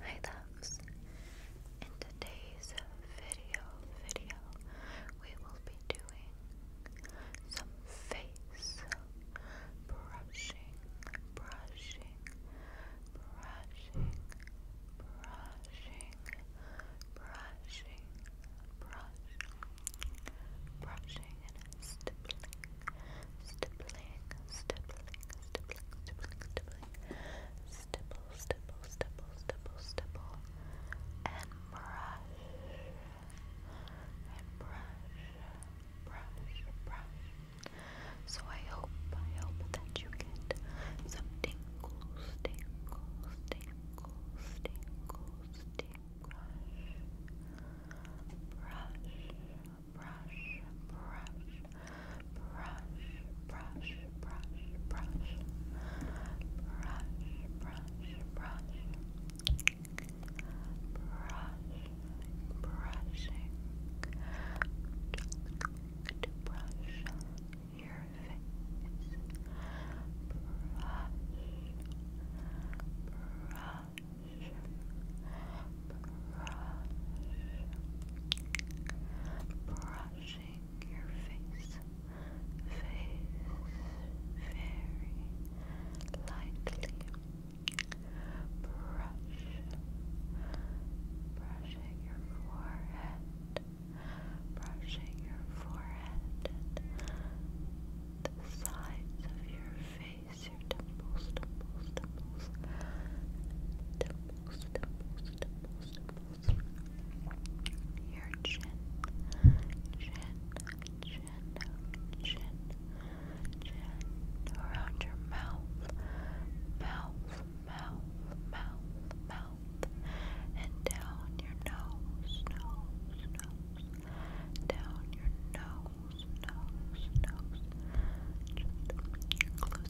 Hi loves! In today's video, video, we will be doing some face brushing, brushing, brushing, brushing, brushing, brushing, brushing and stippling, stippling, stippling, stippling, stippling, stippling, stipple, stipple, stipple, stipple, stipple, and brush, and brush, brush, brush. So I hope, I hope that you get some tingles, tingles, tingles, tingles, tingles, brush, brush brush, brush, brush, brush, brush, brush, brush, brush, brush, brush, brushing, to brush your face, brush, brush, brush, brushing your face, face very lightly. Brush, brushing your forehead, brushing your forehead the sides of your face, your temples, temples, temples. Your chin, chin, chin, chin, chin. Around your mouth, mouth, mouth, mouth, mouth. And down your nose, nose, nose. Down your nose, nose, nose. Just close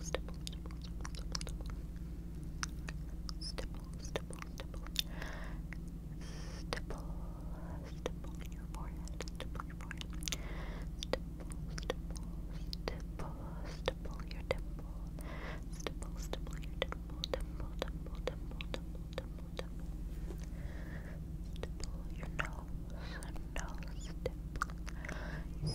stipple, stipple, stipple, stipple, stipple, stipple, stipple, stipple your forehead, stipple forehead, stipple, stipple, stipple, stipple your dimple, stipple, stipple your dimple, dimple, dimple, dimple, dimple, dimple, dimple, stipple your nose, nose, dimple, dimple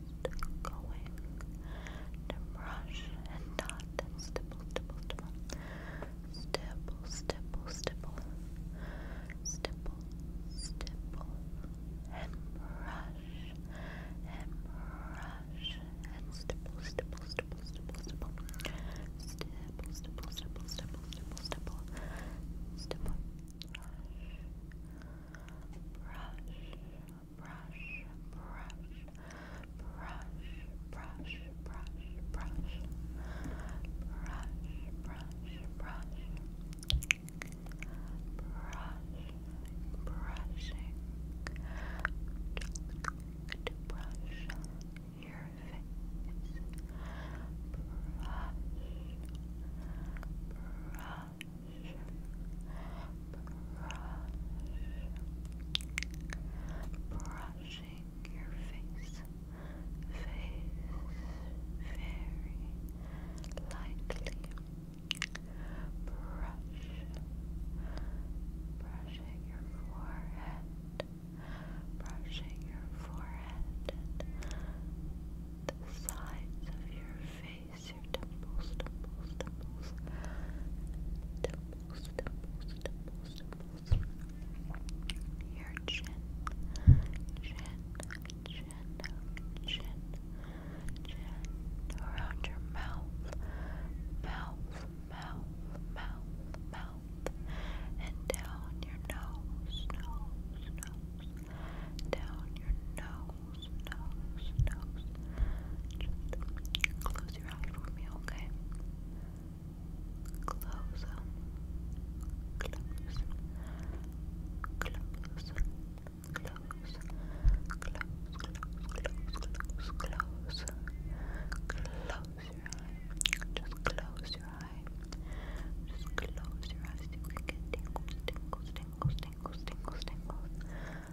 going to brush and dot and stipple, stipple, stipple, stipple, stipple, stipple, stipple, stipple, and brush and brush and stipple, stipple, stipple, stipple, stipple, stipple, stipple, stipple, stipple, stipple, stipple, stipple, brush. Brush, brush, brush, brush, brush, brush, brush, brush, brush, brush. Brush, brushing to brush your face. Brush, brush, brushing your face, face very lightly, brush, brushing your forehead, brushing your forehead the sides of your face release your temples, temples, temples, temples, temples, temples, temples. Your chin, chin, chin, chin, chin. Around your mouth, mouth, mouth, mouth, mouth, and down your nose, nose, nose, down your nose close your eyes for me, okay? Close them. Close. Close. Close. Close. Close. Close. Close. Close your eye. Just close your eyes. Just close your eyes. You can get tingles, tingles, tingles, tingles, tingles, tingles.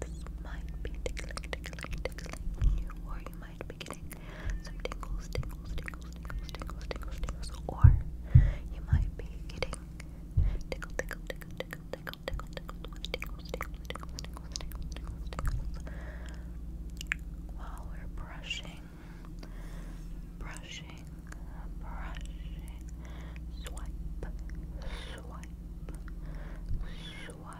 This might be tickling, tickling, tickling or you might be getting some tingles, tingles, tingles, tingles, tingles, tingles, tingles, or you might be getting tingles, tingles, tingles, tingles, tingles, tingles, tingles. While we're brushing, brushing, brushing, swipe, swipe, swipe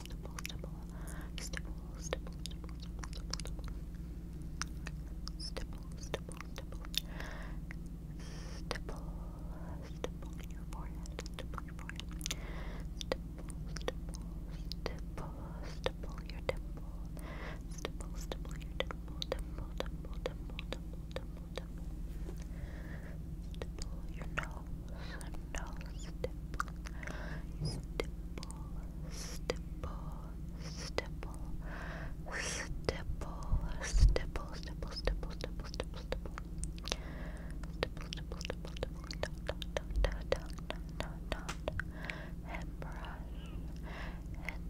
stipple, stipple, stipple, stipple, stipple, stipple, stipple, stipple, stipple, stipple, stipple, stipple on your forehead, stipple your forehead, stipple, stipple, stipple, stipple your temple, stipple, stipple your temple, temple, temple, temple, temple, temple, temple, stipple your nose, nose, stipple, stipple. Stipple, stipple, stipple, stipple, stipple, stipple, stipple, stipple, stipple, stipple. Stipple, stipple, stipple, stipple, dot, dot, dot, dot, dot, dot, dot, dot. Head brush, head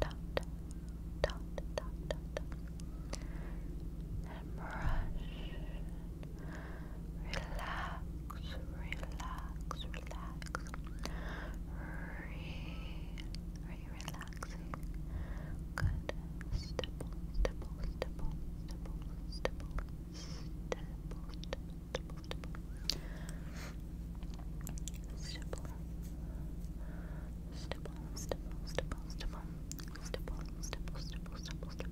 dot, dot, dot, dot, dot, dot. Head brush, relax, relax, relax. Re are relaxing? Good. Stipple, stipple, stipple, stipple, stipple, stipple, stipple, stipple. Stipple. Stipple, stipple, stipple, stipple, stipple, stipple, stipple,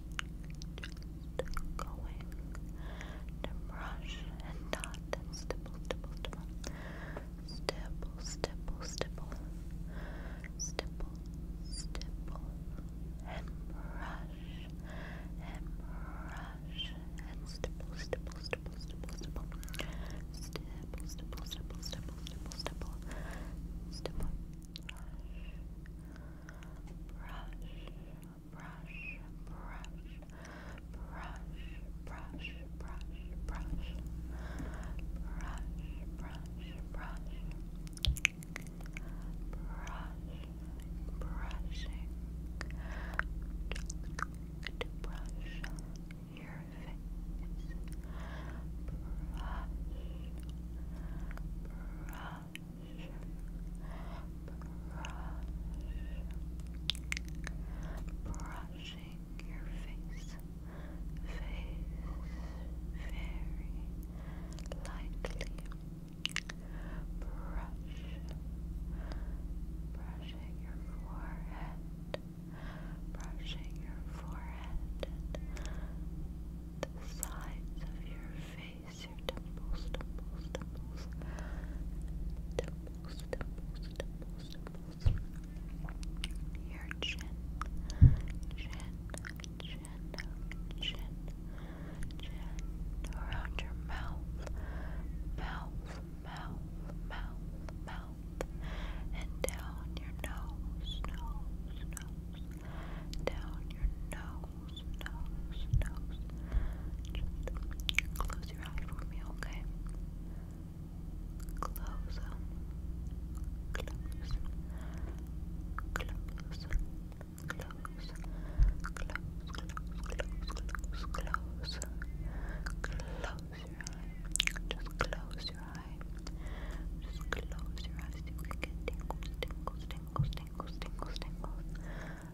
just going to brush and dot and stipple, stipple, stipple, stipple, stipple, stipple, stipple, stipple, and brush and brush and stipple, stipple, stipple, stipple, stipple, stipple, stipple, stipple, stipple, stipple, stipple, stipple, brush. Brush, brush, brush, brush, brush, brush, brush, brush, brush, brush, brush, brushing to brush your face, brush, brush. Brush, brushing your face, face very lightly, brush, brushing your forehead, brushing your forehead the sides of your face face, your temples, temples, temples, temples, temples, temples, temples, your chin, chin, chin, chin, chin, around your mouth, mouth, mouth, mouth, mouth, and down your nose, nose, nose, down your nose close your eyes for me, okay? Close, close, close, close, close, close, close, close. Close your eye. Just close your eyes. Just close your eyes. You can get tingles, tingles, tingles, tingles, tingles, tingles.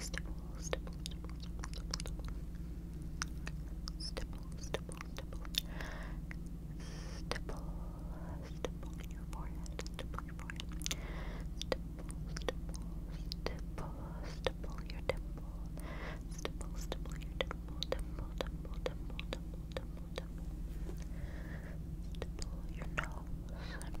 stipple, stipple, stipple, stipple, stipple, stipple, stipple, stipple, stipple your forehead, stipple your forehead, stipple, stipple, stipple, stipple your temple, stipple, stipple your temple, temple, temple, temple, temple, temple, temple, stipple your nose,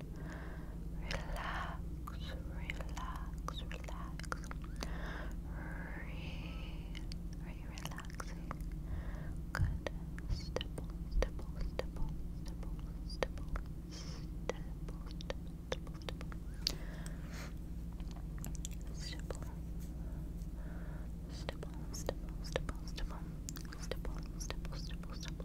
Relax, relax, relax. Breathe. Are you relaxing? Good. Stipple, stipple, stipple, stipple, stipple, stipple, stipple, stipple. Stipple. Stipple, stipple, stipple, stipple, stipple, stipple, stipple, stipple.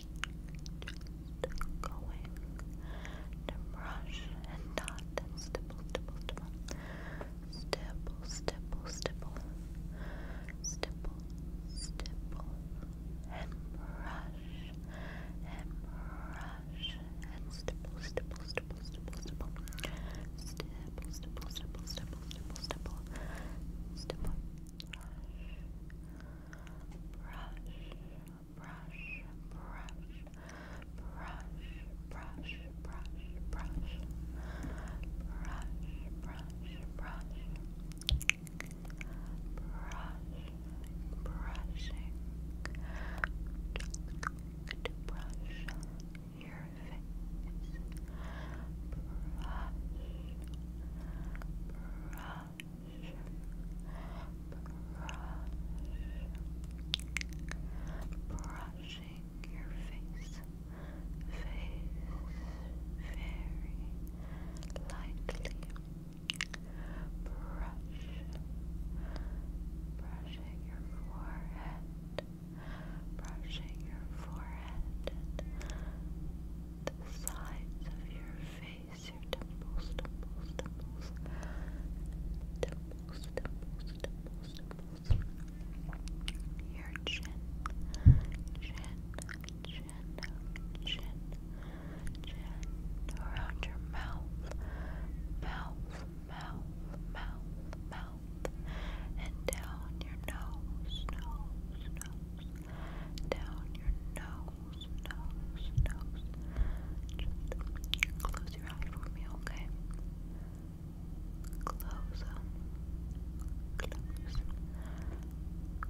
Just going to brush and dot and stipple, stipple, stipple. Stipple, stipple, stipple. Stipple, stipple. And brush and brush and stipple, stipple, stipple, stipple, stipple. Stipple, stipple, stipple, stipple, stipple, stipple. Stipple. Brush. Brush brush, brush, brush, brush, brush, brush, brush, brush, brush, brush, brushing, to brush your face, brush, brush brushing your face, face very lightly. Brush, brushing your forehead, brushing your forehead the sides of your face release your temples, temples, temples, temples, temples, temples, temples. Your chin, chin, chin, chin, chin, around your mouth, mouth, mouth, mouth, mouth, and down your nose, nose, nose, down your nose close your eye for me, okay? Close, close, close, close, close,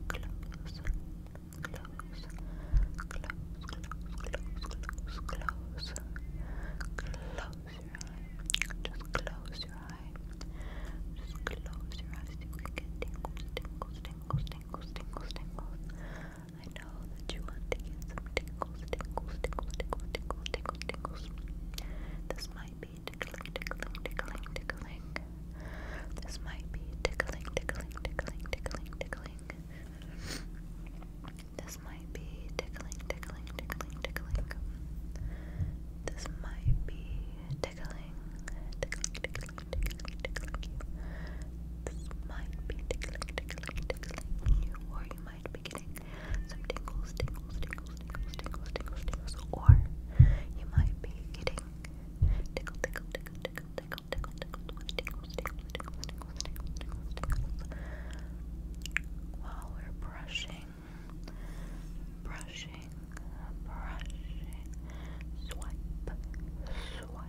close, close, close, close your eye. Just close your eye. Just close your eyes. You can get tingles, tingles, tingles, tingles, tingles, tingles. I know that you want to get some tingles, tingles, tingles, tingles, tingles, tingles, tingles. This might be tickling, tickling, tickling, tickling. This might be tickling, tickling, tickling, tickling, tickling. This might be tickling, tickling, tickling, tickling. This might be tickling, tickling, tickling, this might be tickling, tickling, tickling you, or you might be getting some tingles, tingles, tingles, tingles, tingles, tingles, or you might be getting tickle, tickle, tickle, tickle, tickle, tickle, tickle, with tingles, tingles, tingles, tingles, tingles, While we're brushing, brushing, brushing, swipe, swipe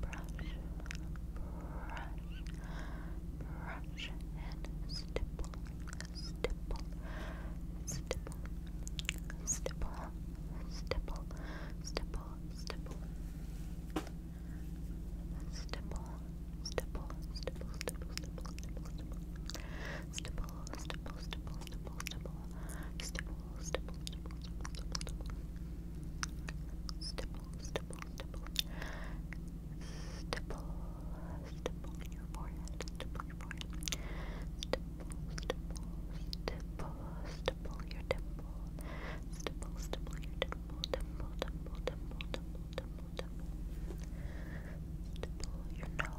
brush, and stipple, stipple, stipple, stipple, stipple, stipple, stipple. Stipple, stipple, stipple, stipple, stipple, stipple, stipple, stipple, stipple, stipple, stipple, stipple, stipple, stipple, stipple, stipple, stipple, stipple, stipple, stipple, stipple your forehead, stipple your forehead, stipple, stipple, stipple, stipple your dimple, stipple, stipple your dimple, dimple, dimple, dimple, dimple, dimple, dimple, stipple your nose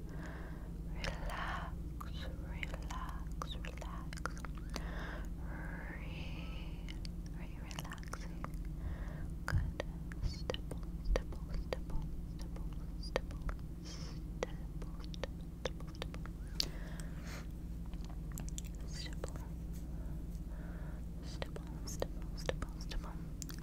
relax, relax, relax. Re are Good. Stipple, stipple, stipple, stipple, stipple, stipple, stipple, stipple. Stipple, stipple,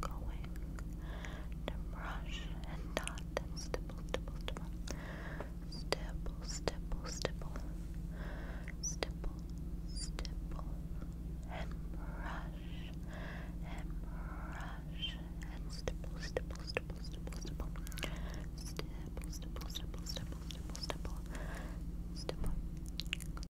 going to brush and dot and stipple, stipple, stipple, stipple, stipple, stipple, stipple, stipple, and brush and brush and stipple, stipple, stipple, stipple, stipple, stipple, stipple, stipple, stipple, stipple, stipple, stipple,